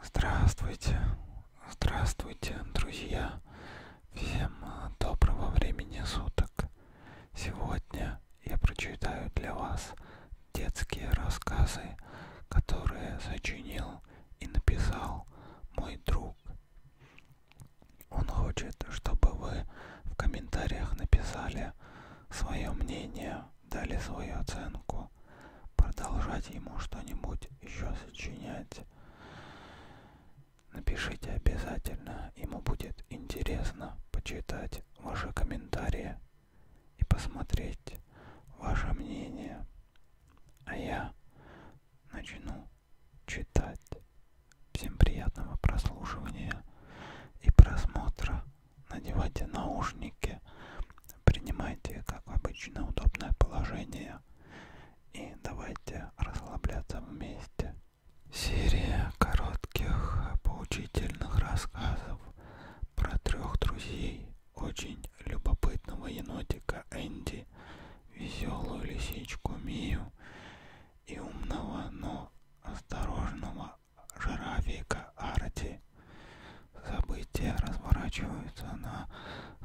Здравствуйте, здравствуйте, друзья! Всем э, доброго времени суток! Сегодня я прочитаю для вас детские рассказы, которые сочинил и написал мой друг. Он хочет, чтобы вы в комментариях написали свое мнение дали свою оценку, продолжать ему что-нибудь еще сочинять. Напишите обязательно, ему будет интересно почитать ваши комментарии и посмотреть ваше мнение. А я начну читать. Всем приятного прослушивания и просмотра надевайте наушники, принимайте, как обычно, удобное положение и давайте расслабляться вместе. Серия коротких поучительных рассказов про трех друзей очень любопытного енотика Энди, веселую лисичку Мию и умного, но осторожного жирафика Арти. События разворачиваются на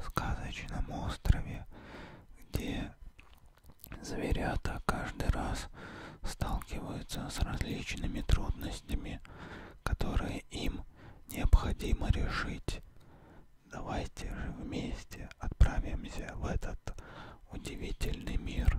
сказочном острове, где зверята каждый раз сталкиваются с различными трудностями, которые им необходимо решить. Давайте же вместе отправимся в этот удивительный мир.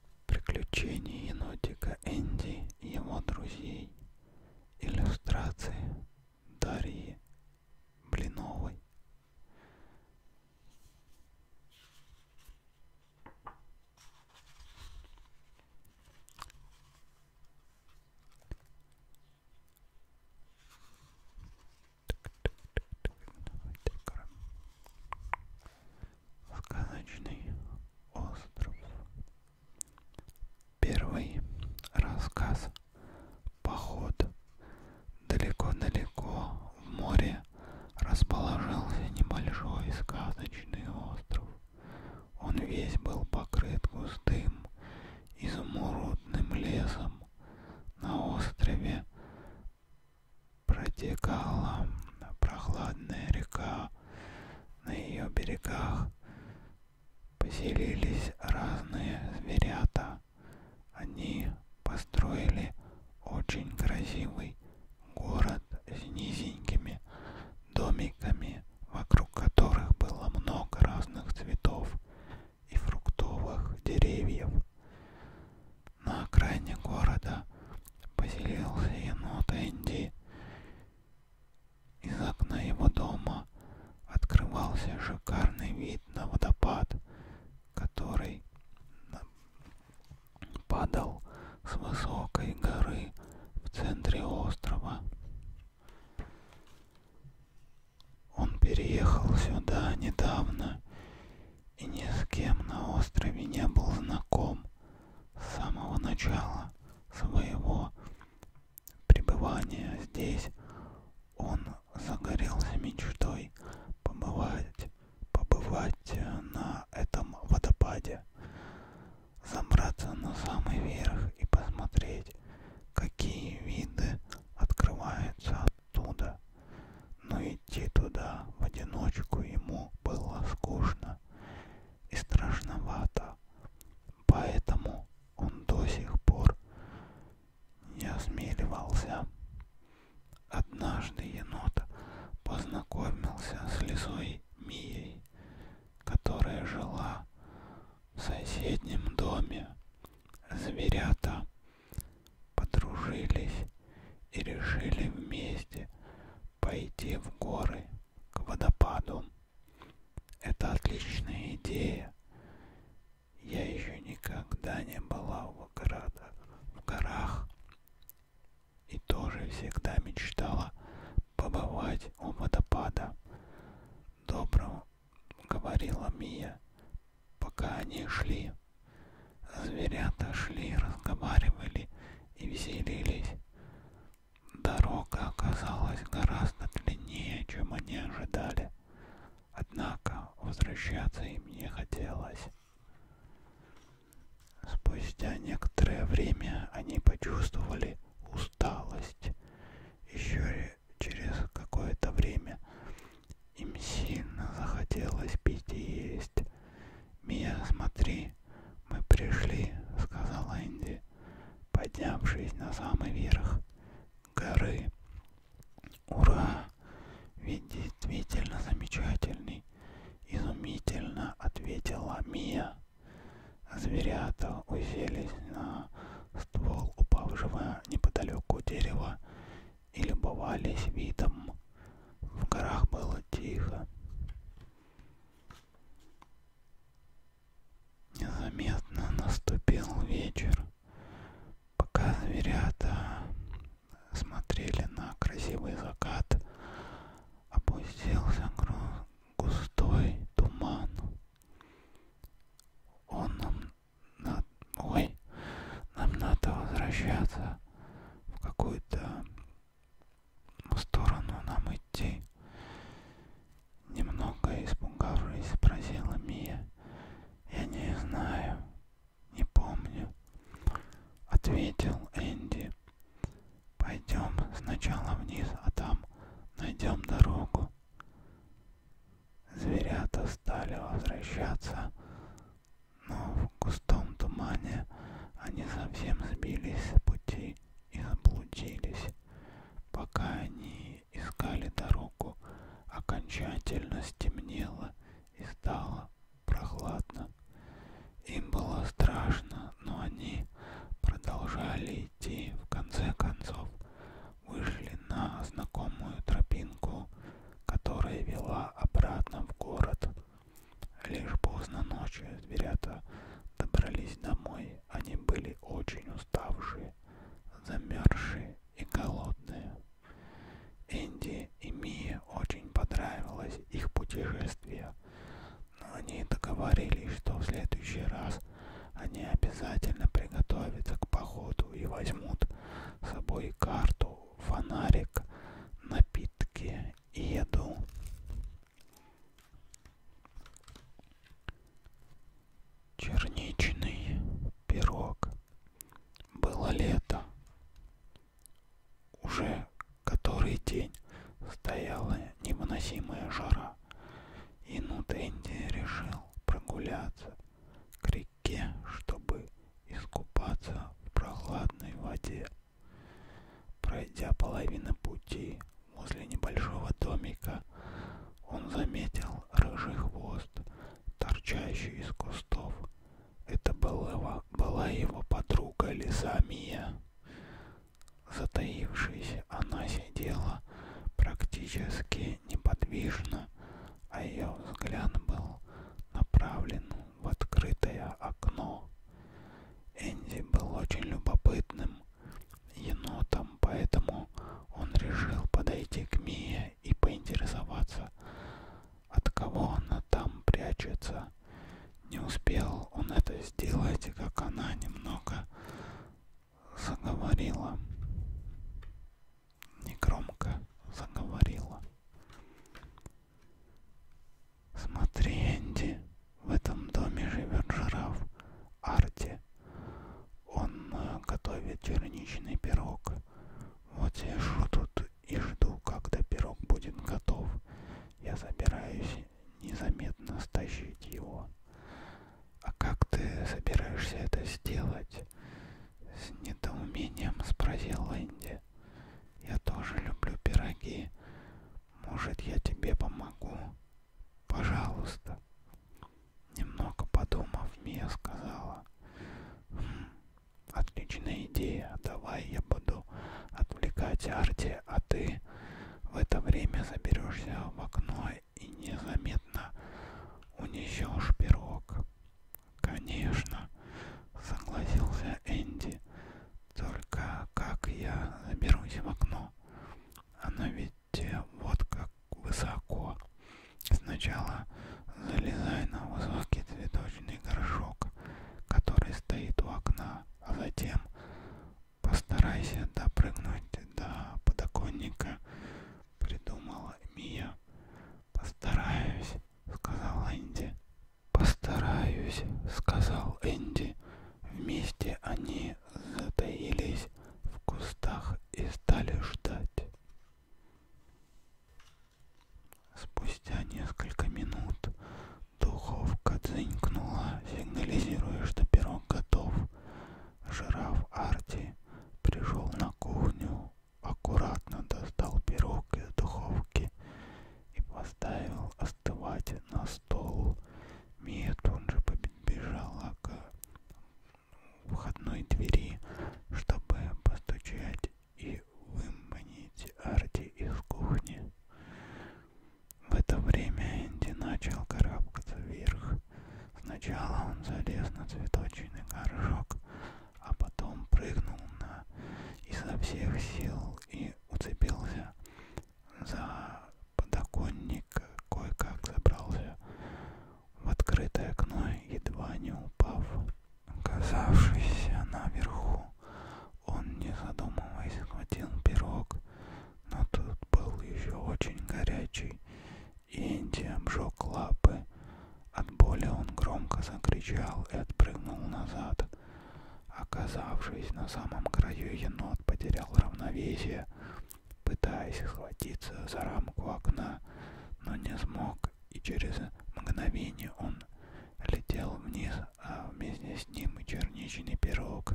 Приключения енотика Энди и его друзей. Иллюстрации Дарьи Блиновой. Сказочный остров Первый рассказ «Поход» далеко-далеко в море расположился небольшой сказочный остров. Он весь был покрыт густым, изумрудным лесом. На острове протекала прохладная река, на ее берегах поселились разные зверята. Они построили очень красивый город с низенькими домиками, вокруг которых было много разных цветов и фруктовых деревьев. На окраине города поселился енот Энди. Из окна его дома открывался шикарный вид на водопад, который падал с высокой горы в центре острова. Он переехал сюда недавно и ни с кем на острове не был знаком с самого начала своего пребывания здесь он загорелся мечтой побывать, побывать э, на этом водопаде, забраться на самый верх и посмотреть, какие виды открываются оттуда. Но идти туда в одиночку ему было скучно и страшновато, поэтому он до сих пор не осмеливался. Однажды енот познакомился с лисой Мией, которая жила в соседнем доме. Зверята подружились и решили вместе пойти в горы к водопаду. Это отличная идея. Я еще никогда не была в городах, в горах и тоже всегда мечтала побывать у водопада. Добро говорила Мия, пока они шли. Зверята шли, разговаривали и веселились. Дорога оказалась гораздо длиннее, чем они ожидали. Однако возвращаться им не хотелось. Спустя некоторое время они почувствовали усталость. Еще через какое-то время им сильно захотелось пить и есть. Мия, смотри, мы пришли, сказал Энди, поднявшись на самый верх горы. Ура! Ведь действительно замечательный, изумительно ответила Мия. Зверята уселись на ствол упавшего неподалеку дерева и любовались видом. В горах было тихо. Незаметно наступил вечер. Пока зверята смотрели на красивый закат, опустился густой туман. Он нам на... Ой, нам надо возвращаться в какую-то сторону нам идти? Немного испугавшись, спросила Мия. Я не знаю, не помню, ответил Энди. Пойдем сначала вниз, а там найдем дорогу. Зверята стали возвращаться но в густом тумане они совсем сбились с пути и заблудились. Пока они искали дорогу, окончательно стемнело и стало прохладно. Им было страшно, но они продолжали идти. В конце концов, вышли на знакомую тропинку, которая вела обратно в город. Лишь поздно ночью зверята добрались домой. Они были очень уставшие, замерзшие и голодные. Энди и Мия очень понравилось их путешествие, но они договорились, что в следующий раз они обязательно приготовятся к походу и возьмут с собой карту, фонарик, напитки еду. Черничный пирог. Было лето. Уже который день стояла невыносимая жара. И Нутенди решил прогуляться к реке, чтобы искупаться в прохладной воде. Пройдя половину пути возле небольшого домика, он заметил рыжий хвост, торчащий из кустов. Это была его, была его подруга Лиза Мия. Затаившись, она сидела практически неподвижно, а ее взгляд был направлен в открытое окно. Энди был очень любопытным енотом, поэтому он решил подойти к Мие и поинтересоваться, от кого она там прячется. Не успел он это сделать, как она немного заговорила. Негромко заговорила. Смотри, Энди, в этом доме живет жираф Арти. Он э, готовит черничный пирог. Вот я сижу тут и жду, когда пирог будет готов. Я собираюсь незаметно стащить его. А как ты собираешься это сделать? С недоумением спросил Энди пироги. Я тоже люблю пироги. Может, я тебе помогу? Пожалуйста. Немного подумав, Мия сказала. «Хм, отличная идея. Давай я буду отвлекать Арти, а ты в это время заберешься в окно и незаметно унесешь пирог. Конечно, согласился Энди. Только как я заберусь в окно? Оно ведь э, вот как высоко. Сначала залезай на высокий цветочный горшок, который стоит у окна, а затем постарайся допрыгнуть до подоконника, придумала Мия. Постараюсь, сказала Энди. «Постараюсь», — сказал Энди. Вместе они затаились в кустах и стали ждать. Спустя несколько минут духовка дзынькнула, сигнализируя, что пирог готов. Жираф Арти пришел на кухню, аккуратно достал пирог из духовки и поставил остывать на стол. Мия тут же побежала к входной двери, чтобы постучать и выманить Арти из кухни. В это время Энди начал карабкаться вверх. Сначала он залез на цветочный горшок, а потом прыгнул на изо всех сил и уцепился за подоконник, кое-как забрался в открытое окно, едва не упав. Оказавшись наверху, он, не задумываясь, схватил пирог, но тут был еще очень горячий, и Энди обжег лапы. От боли он громко закричал и отпрыгнул назад. Оказавшись на самом краю, енот потерял равновесие, пытаясь схватиться за рамку окна, но не смог, и через мгновение он летел вниз, а вместе с ним и черничный пирог.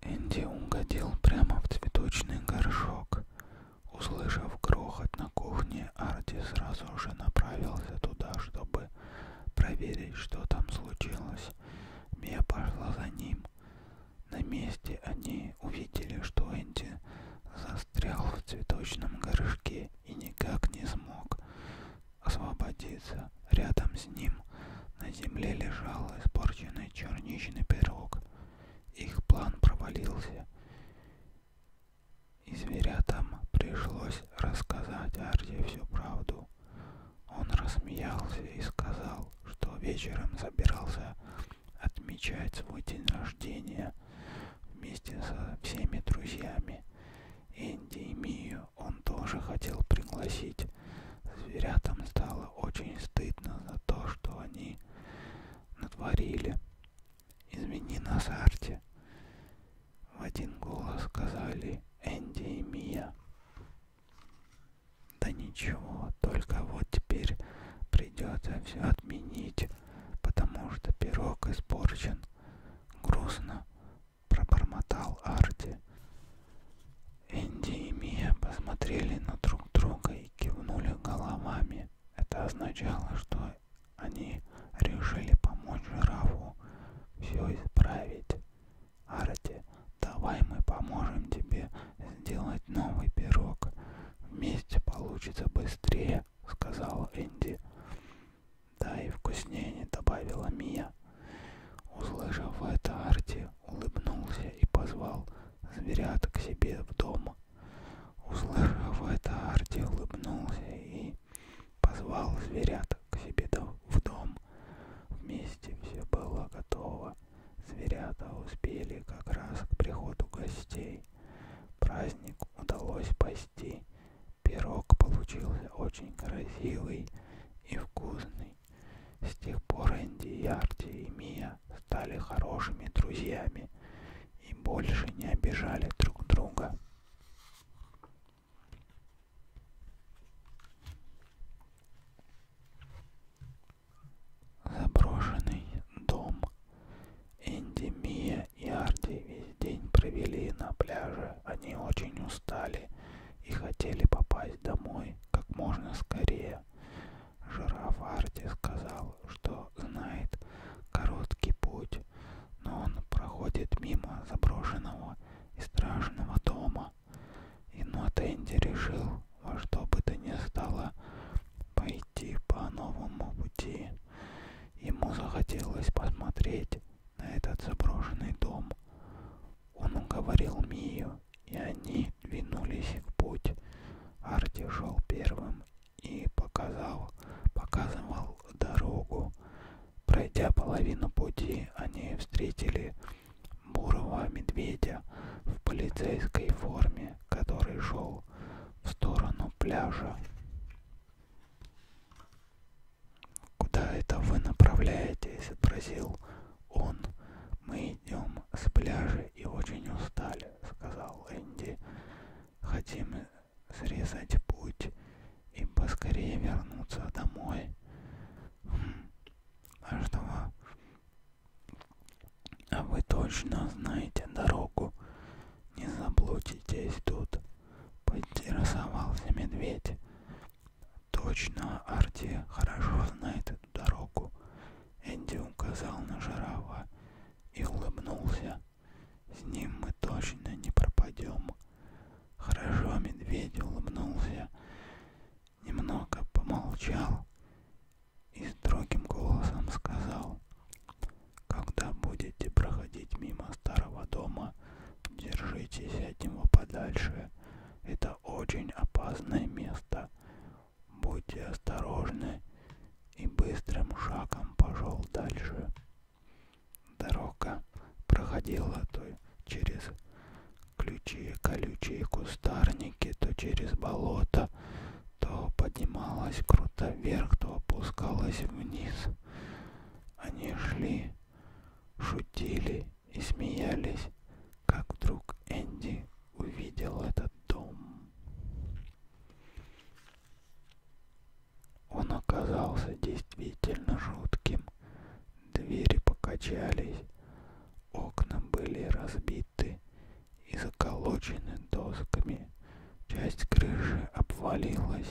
Энди угодил прямо в цветочный горшок. Услышав грохот на кухне, машине, Арти сразу же направился туда, чтобы проверить, что там случилось. Мия пошла за ним. На месте они увидели, что Энди застрял в цветочном горшке и никак не смог освободиться. Рядом с ним на земле лежал испорченный черничный пирог. Их план провалился. И зверятам пришлось рассказать Арде всю правду. Он рассмеялся и сказал, что вечером забирался отмечать свой день рождения вместе со всеми друзьями. Энди и Мию он тоже хотел пригласить. Зверятам стало очень стыдно за то, что они натворили. «Извини нас, Арти», в один голос сказали Энди и Мия. Да ничего, только вот теперь придется все отменить, потому что пирог испорчен. Грустно пробормотал Арти. Энди и Мия посмотрели на друг друга и кивнули головами. Это означало, что Однажды они решили помочь жирафу все исправить. Арти, давай мы поможем тебе сделать новый пирог. Вместе получится быстрее, сказала Энди. Да и вкуснее, добавила Мия. Услышав это, Арти улыбнулся и позвал зверят к себе в дом. Услышав это, Арти улыбнулся и Позвал зверят к себе в дом. Вместе все было готово. Зверята успели как раз к приходу гостей. Праздник удалось спасти. Пирог получился очень красивый и вкусный. С тех пор Энди, Ярти и Мия стали хорошими друзьями и больше не обижали друг друга. Заброшенный дом. Энди, Мия и Арди весь день провели на пляже. Они очень устали и хотели попасть домой как можно скорее. Жираф Арти сказал, что знает короткий путь но он проходит мимо заброшенного и страшного дома. И Нот ну, а Энди решил во что бы то ни стало пойти по новому пути. Ему захотелось посмотреть на этот заброшенный дом. Он уговорил Мию, и они двинулись в путь. Арти шел первым и показал, показывал дорогу. Пройдя половину пути, они встретили бурого медведя в полицейской форме, который шел в сторону пляжа. «Куда это вы направляетесь?» — спросил он. «Мы идем с пляжа и очень устали», — сказал Энди хотим срезать путь и поскорее вернуться домой. Хм. А что вы? А вы точно знаете дорогу. Не заблудитесь тут. Поинтересовался медведь. Точно, Арти хорошо знает эту дорогу. Энди указал на жирафа и улыбнулся. С ним мы точно не пропадем. Хорошо, медведь улыбнулся, немного помолчал и строгим голосом сказал, когда будете проходить мимо старого дома, держитесь от него подальше. Это очень опасное место. Будьте осторожны и быстрым шагом пошел дальше. Дорога проходила то через ключие колючие кустарники, то через болото, то поднималась круто вверх, то опускалась вниз. Они шли, шутили и смеялись, как вдруг Энди увидел этот дом. Он оказался действительно жутким. Двери покачались, окна были разбиты и заколочены досками. Часть крыши обвалилась,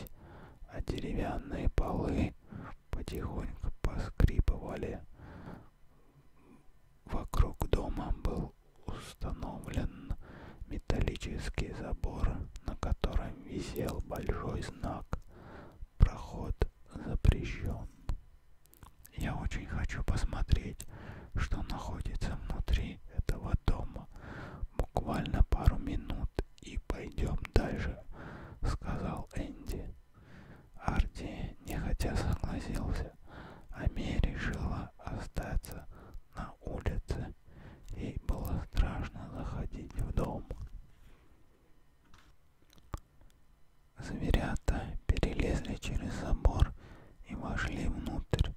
а деревянные полы потихоньку поскрипывали. Вокруг дома был установлен металлический забор, на котором висел большой знак «Проход запрещен». Я очень хочу посмотреть, что находится внутри этого дома. Буквально пару минут и пойдем дальше, сказал Энди. Арти нехотя согласился, а Мия решила остаться на улице. Ей было страшно заходить в дом. Зверята перелезли через забор и вошли внутрь.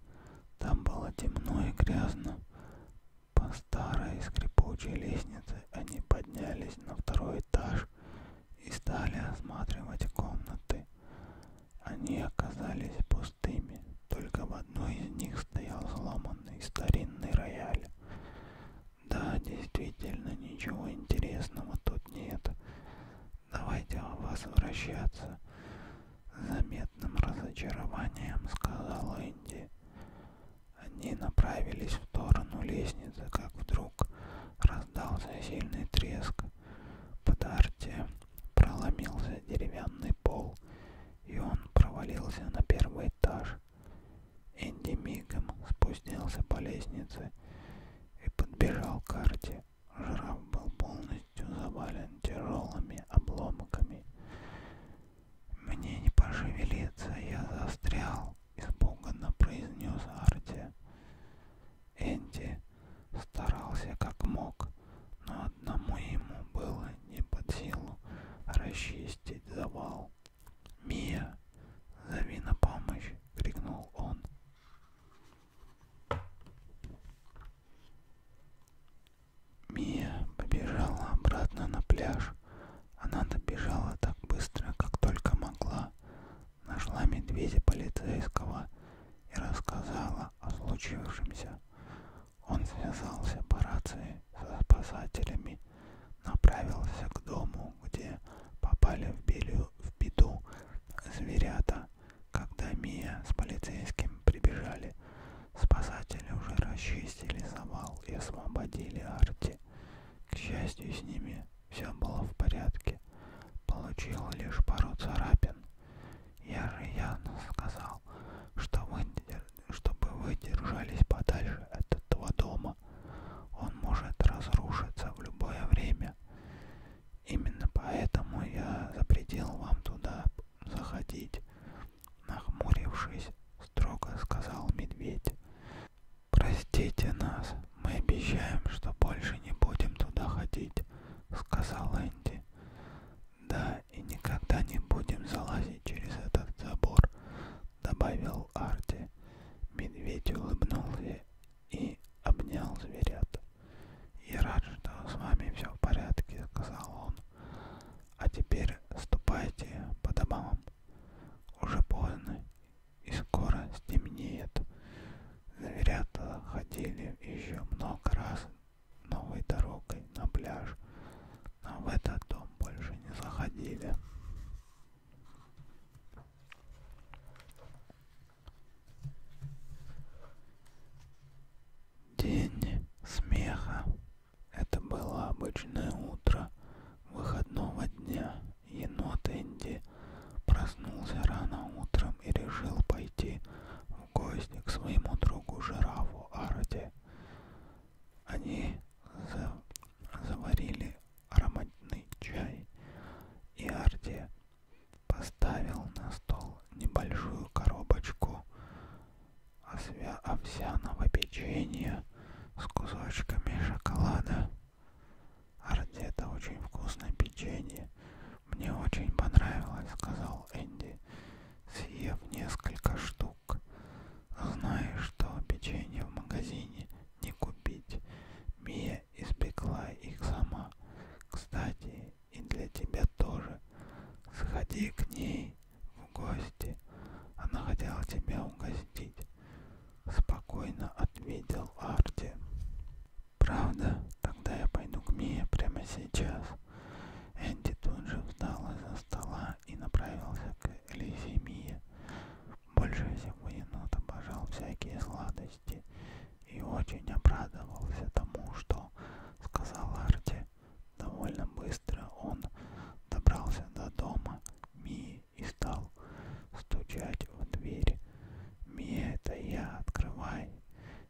Там было темно и грязно. По старой скрипучей лестнице они поднялись на второй этаж и стали осматривать комнаты. Они оказались пустыми, только в одной из них стоял сломанный старинный рояль. Да, действительно, ничего интересного тут нет. Давайте возвращаться. С заметным разочарованием сказал Энди. Они направились в сторону лестницы, как вдруг раздался сильный треск. «Подарьте!» Проломился деревянный пол, и он провалился на первый этаж. Энди мигом спустился по лестнице и подбежал к карте. Жираф был полностью завален тяжелыми обломками. «Мне не пошевелиться, я застрял», — испуганно произнес Арти. Энди старался как мог, но одному ему было не под силу расчистить завал. «Мия, зови на помощь!» — крикнул он. Мия побежала обратно на пляж. Она добежала так быстро, как только могла. Нашла медведя полицейского и рассказала о случившемся. Он связался по рации со спасателями, направился к дому, где попали в, белю, в беду зверята. Когда Мия с полицейским прибежали, спасатели уже расчистили завал и освободили Арти. К счастью, с ними все было в порядке. Получил лишь пару царапин. Я же явно сказал, что вы, чтобы вы держались подальше от этого дома. Он может разрушиться в любое время. Именно поэтому я запретил вам туда заходить. Нахмурившись, строго сказал медведь. Простите нас, мы обещаем, что больше не будем туда ходить, сказал Энди. Да, и никогда не будем залазить через этот забор, добавил Арти. Медведь улыбнулся и обнял зверят. Я рад, что с вами все в порядке, сказал он. А теперь ступайте по домам. Уже поздно и скоро стемнеет. Зверята ходили еще много раз новой дорогой на пляж, но а в этот дом больше не заходили. День смеха. Это было обычное утро выходного дня. Енот Энди проснулся рано утром и решил пойти в гости к своему другу жирафу Арде. Они за... заварили ароматный чай, и Арде поставил на стол небольшую коробочку освя... овсяного печенья с кусочками шоколада. Арде это очень вкусное печенье, мне очень понравилось, сказал Энди, съев несколько штук. Зная, что печенье в магазине не купить, Мия испекла их сама. Кстати, и для тебя тоже. Сходи к ней в гости. Она хотела тебя угостить. Спокойно ответил Арти. Правда? Тогда я пойду к Мие прямо сейчас. Энди тут же встал из-за стола и направился к Элизе Мие. Больше всего енот обожал всякие сладости и очень обрадовался тому, что сказал Арти. Довольно быстро он добрался до дома Мии и стал стучать в дверь. «Мия, это я, открывай!»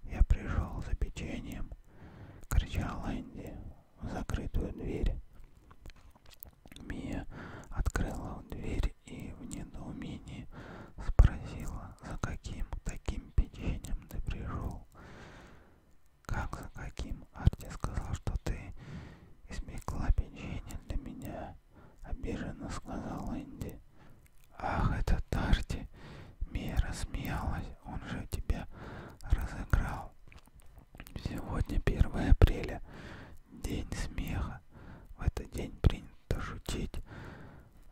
Я пришел за печеньем, кричал Энди в закрытую дверь. Мия открыла дверь и в недоумении спросила, за каким таким печеньем ты пришел. Как за каким? Арти сказал, что ты испекла печенье для меня. Обиженно сказал Энди. Ах, это Тарти! Мия рассмеялась. Он же тебя разыграл. Сегодня 1 апреля. День смеха. В этот день принято шутить,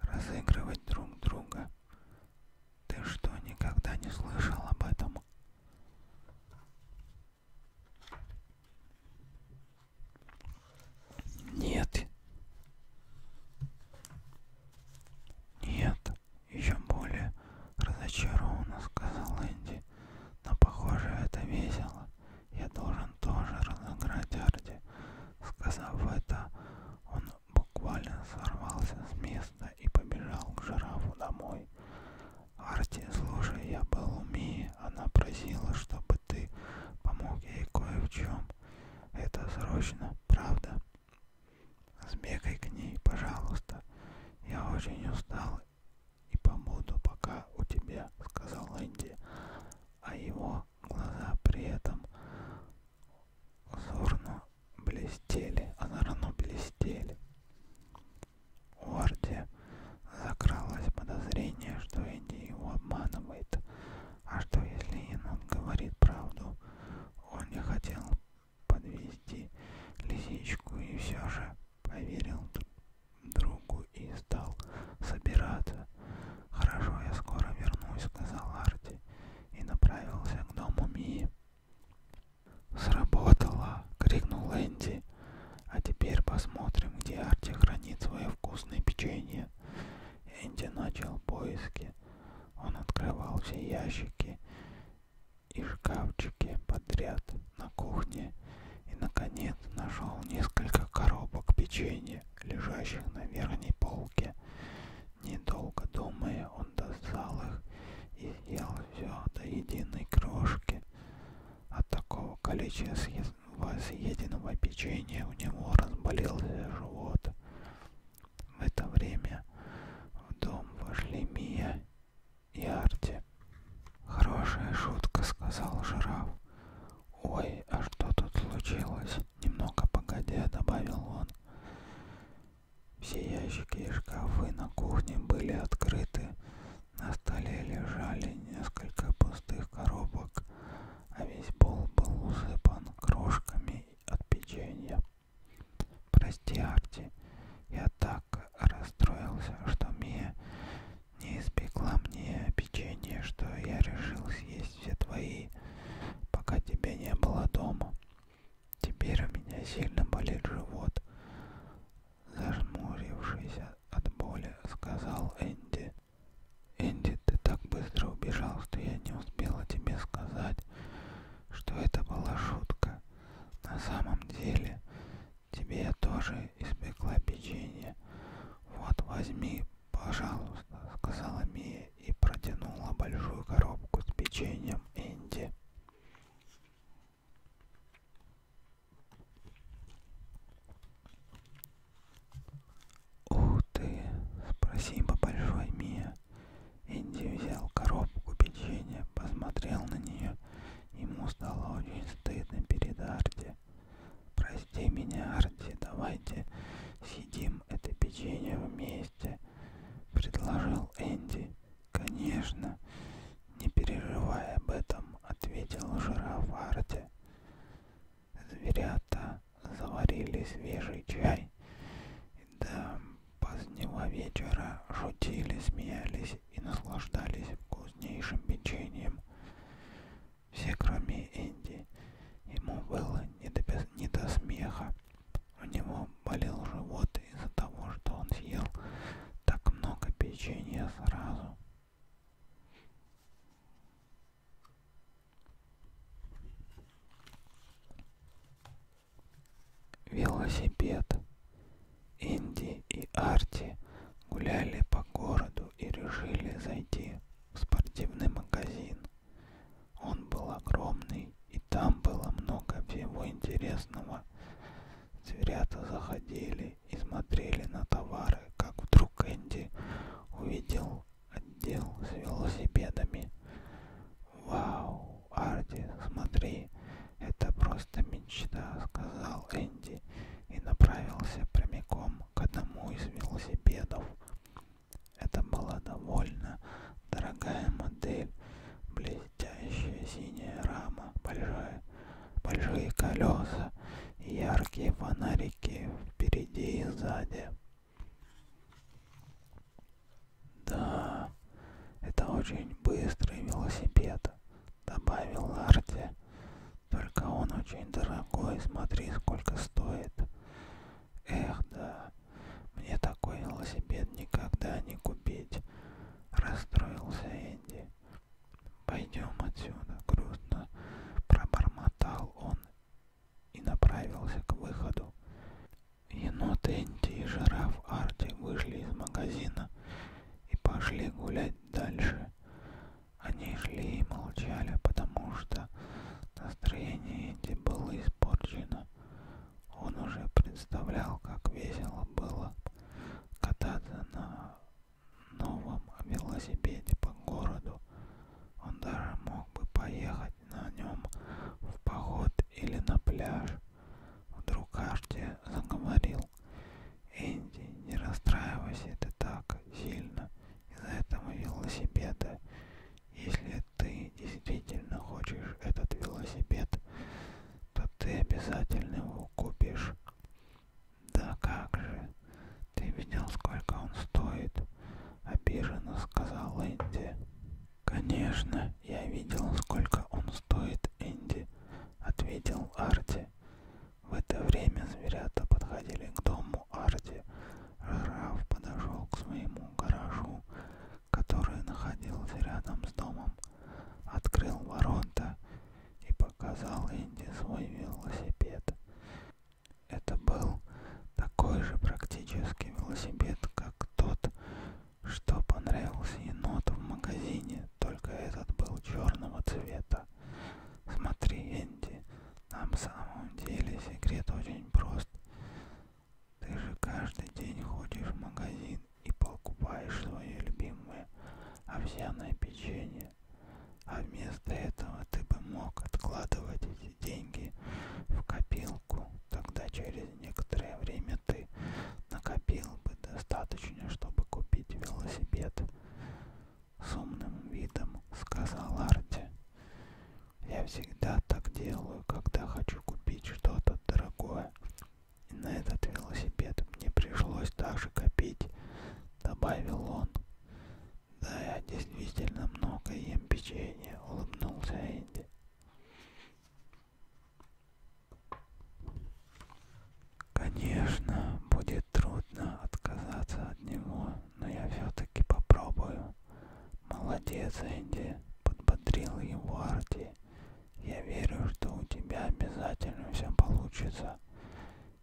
разыгрывать друг друга. Ты что, никогда не слышал об этом? Нет. Нет. Еще более разочарованно сказал Энди. Но похоже это весело. Я должен тоже разыграть Арди. Сказав это, он буквально сорвался с места и побежал к жирафу домой. Арти, слушай, я был у Мии. Она просила, чтобы ты помог ей кое в чем вам это срочно, правда? Сбегай к ней, пожалуйста. Я очень устал и побуду пока у тебя, сказал Энди, а его глаза при этом зорно блестели, озорно блестели. У Арти закралось подозрение, что Энди его обманывает, а что, если енот говорит правду? Он не хотел подвести лисичку и все же поверил другу и стал собираться. «Хорошо, я скоро вернусь», — сказал Арти и направился к дому Мии. «Сработало!» — крикнул Энди. «А теперь посмотрим, где Арти хранит свое вкусное печенье». Энди начал поиски. Он открывал все ящики и шкафчики подряд на кухне и, наконец, нашел несколько коробок печенья, лежащих на верхней полке. Недолго думая, он достал их и съел все до единой крошки. От такого количества съеденного печенья у него разболелся живот. В это время в дом вошли Мия и Арти. «Хорошая шутка», — сказал жираф. «Ой, а что тут случилось?» — немного погодя добавил он. Все ящики и шкафы на кухне были открыты. На столе лежали несколько пустых коробок, а весь пол был усыпан крошками от печенья. Прости, Арти, я так расстроился, что Мия не испекла мне печенье, что я решил съесть все твои, пока тебя не было дома. Теперь у меня сильно болит живот. Зажмурившись от боли, сказал Энди. Энди, ты так быстро убежал, что я не успела тебе сказать, что это была шутка. На самом деле, тебе я тоже испекла печенье. Вот возьми, пожалуйста, сказала Мия и протянула большую коробку с печеньем Энди. Ух ты! Спасибо большое, Мия. Энди взял коробку печенья, посмотрел на нее. Ему стало очень стыдно перед Арти. Прости меня, Арти, давайте съедим это печенье вместе, предложил Энди. Конечно, не переживай об этом, ответил жираф Арти. Зверята заварили свежий чай и до позднего вечера шутили, смеялись и наслаждались вкуснейшим печеньем. Все, кроме Энди. Ему было не до, не до смеха. У него болел живот из-за того, что он съел так много печенья сразу. Велосипед. Инди и Арти гуляли по городу и решили зайти в спортивный магазин. Он был огромный, и там было много всего интересного. Зверята заходили и смотрели на товары, как вдруг Энди увидел отдел с велосипедами. «Вау, Арти, смотри, это просто мечта», — сказал Энди и направился прямиком к одному из велосипедов. Это была довольно дорогая модель, блестящая синяя рама, большая, большие колеса, яркие фонарики впереди и сзади. Да, это очень быстрый велосипед, добавил Арти. Только он очень дорогой, смотри, сколько стоит. Эх, да, мне такой велосипед никогда не купить, расстроился Энди. Пойдем отсюда, грустно пробормотал он и направился к выходу. Енот Энти и жираф Арти вышли из магазина и пошли гулять дальше. Они шли и молчали, потому что настроение Энти было испорчено. Он уже представлял, как весело было кататься на новом велосипеде по городу. Он даже мог бы поехать на нем в поход или на пляж. Вдруг Арти заговорил. Энди, не расстраивайся ты так сильно из-за этого велосипеда. Если ты действительно хочешь этот велосипед, то ты обязательно его купишь. Да как же, ты видел, сколько он стоит? Обиженно сказал Энди. Конечно, я видел, сколько он стоит, Энди, ответил Арти. В это время зверята подходили к дому Арти. Жираф подошел к своему гаражу, который находился рядом с домом, открыл ворота и показал Энди свой велосипед. Это был такой же практически велосипед, как тот, что понравился еноту в магазине, только этот был черного цвета. Смотри, Энди, на самом деле секрет очень прост. Ты же каждый день ходишь в магазин и покупаешь свое любимое овсяное печенье деньги. А вместо этого ты бы мог откладывать эти деньги в копилку. Тогда через некоторое время ты накопил бы достаточно, чтобы купить велосипед. С умным видом сказал Арти. Я всегда так делаю, когда хочу купить что-то дорогое. И на этот велосипед мне пришлось даже копить, добавил он. Да, я действительно много ем печенье, улыбнулся Энди. Конечно, будет трудно отказаться от него, но я все-таки попробую. Молодец, Энди, подбодрил его Арти. Я верю, что у тебя обязательно все получится.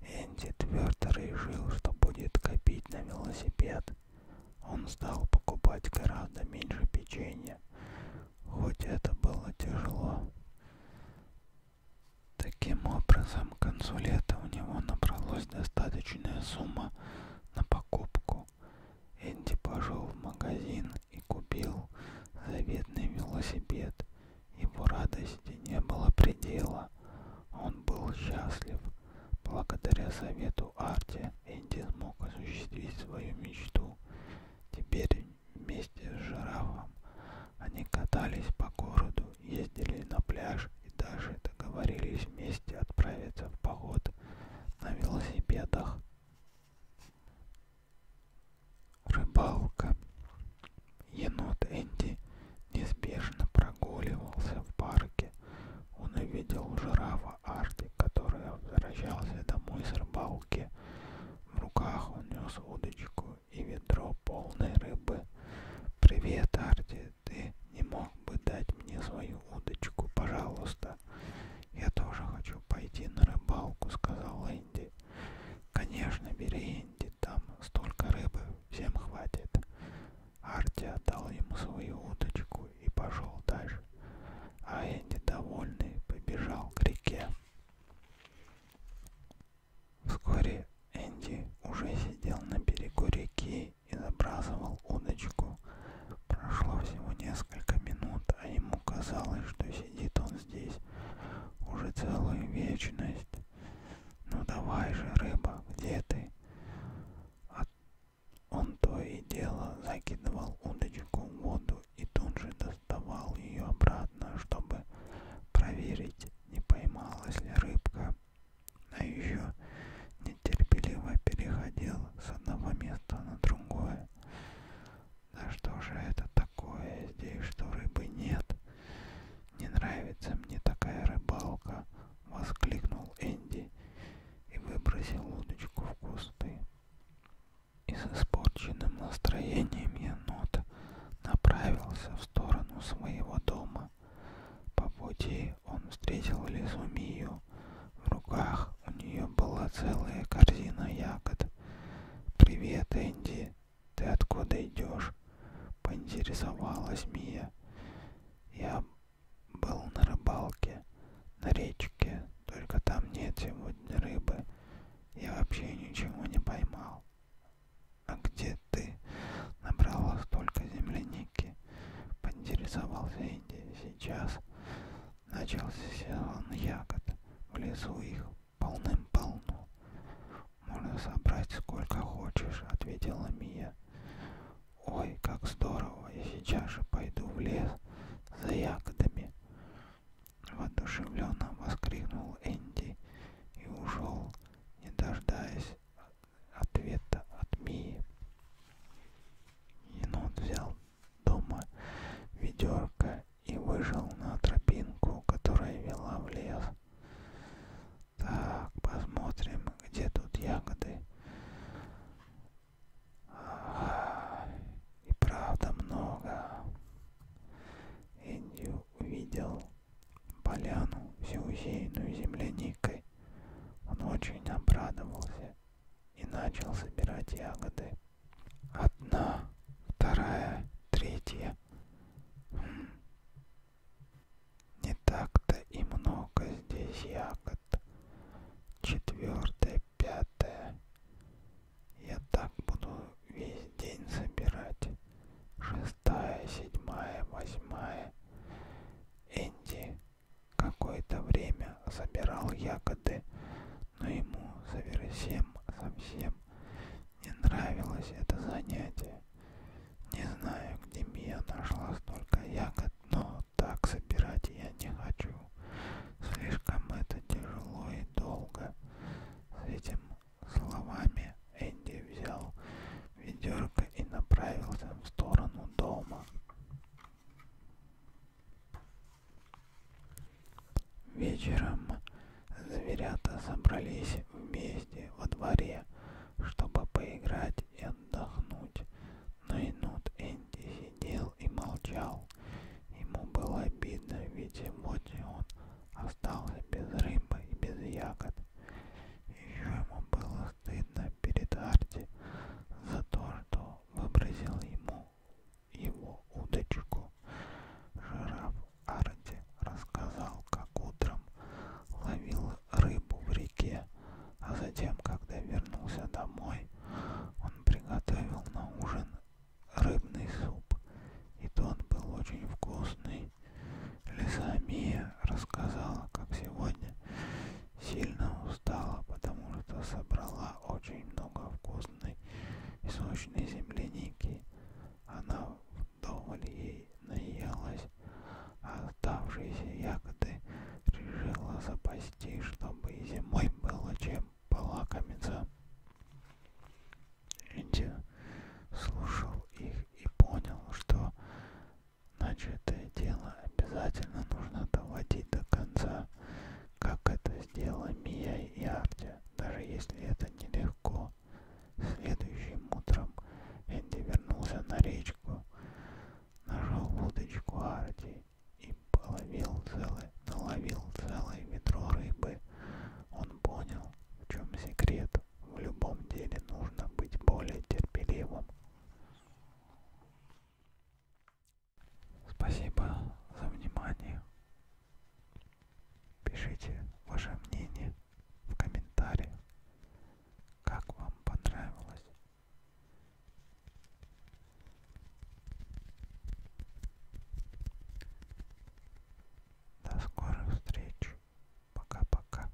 Энди твердо решил, что будет копить на велосипед. Он стал покупать гораздо меньше печенья, хоть это было тяжело. Таким образом, к концу лета у него набралась достаточная сумма на покупку. Энди пошел в магазин и купил заветный велосипед его радости не было предела. Он был счастлив. Благодаря совету Арти Энди смог осуществить свою мечту. Теперь вместе с жирафом они катались по городу, ездили на пляж и даже договорились вместе отправиться в поход на велосипедах. Рыбалка. Енот Энди неспешно прогуливался в парке. Он увидел жирафа Арти, который возвращался домой с рыбалки. В руках он нес удочку и ведро полной рыбы. «Привет, Арти, ты не мог бы дать мне свою удочку, пожалуйста?» «Я тоже хочу пойти на рыбалку», — сказал Энди. «Конечно, бери, Энди, там столько рыбы, всем хватит. Арти отдал ему свою удочку и пошел дальше. А Энди, довольный, побежал к реке. Вскоре Энди уже сидел на берегу реки и забрасывал удочку. Прошло всего несколько минут, а ему казалось, что сидит он здесь уже целую вечность. Ну давай же, рыба, где ты? А он то и дело закидывал удочку в воду и тут же доставал ее обратно, чтобы проверить, не поймалась ли рыбка. А еще нетерпеливо переходил с одного места на другое. Да что же это такое здесь, что рыбы нет? Не нравится мне такая рыбалка, воскликнул Энди и выбросил удочку в кусты. И с испорченным настроением енот направился в сторону своего дома. По пути он встретил лесу Мию. В руках у нее была целая корзина ягод. «Привет, Энди!» «Ты откуда идешь?» — поинтересовалась Мия. «Я был на рыбалке, на речке, только там нет сегодня рыбы. Я вообще ничего не поймал». «А где ты набрала столько земляники?» — поинтересовался Энди. «Сейчас начался сезон ягод, в лесу их полным-полно. Можно собрать сколько хочешь, ответила Мия. Ой, как здорово, я сейчас же пойду в лес за ягодами. Воодушевленно воскликнул Энди и ушел, не дождаясь ответа от Мии. Енот взял дома ведерко и выжил на тропинку, которая вела в лес. Так, посмотрим, где тут ягоды. Ага, и правда много. Энди увидел поляну, всю усеянную земляникой. Он очень обрадовался и начал собирать ягоды. Одна, вторая, третья. Хм. Не так-то и много здесь ягод. Четвертое, пятое. Я так буду весь день собирать. Шестая, седьмая, восьмая. Энди какое-то время собирал ягоды, но ему совсем, совсем мне нравилось это занятие. Не знаю, где Мия нашла столько ягод, но так собирать я не хочу. Слишком это тяжело и долго. С этим словами Энди взял ведерко и направился в сторону дома. Вечером Зверята собрались вместе во дворе, чтобы поиграть и отдохнуть. Но енот Энди сидел и молчал. Ему было обидно, ведь сегодня он остался без рыбы и без ягод. Еще ему было стыдно перед Арти за то, что выбросил ему его удочку. Жираф Арди рассказал, как утром ловил рыбу в реке, а затем, когда вернулся домой, он приготовил на ужин рыбный суп, и тот был очень вкусный. Лизамия рассказала, как сегодня сильно устала, потому что собрала очень много вкусной и сочной земляники. Она вдоволь ей наелась, а оставшиеся ягоды решила запасти, чтобы и зимой было чем полакомиться. Энди слушал их и понял, что начатое дело обязательно нужно доводить до конца, как это сделала Мия и Арти, даже если это нелегко упал. Следующим утром Энди вернулся на речку, нашел удочку Арти и половил целое, наловил целое ведро рыбы. Он понял, в чем секрет. В любом деле нужно быть более терпеливым. Спасибо за внимание. Пишите ваше мнение в комментариях, как вам понравилось. До скорых встреч. Пока-пока.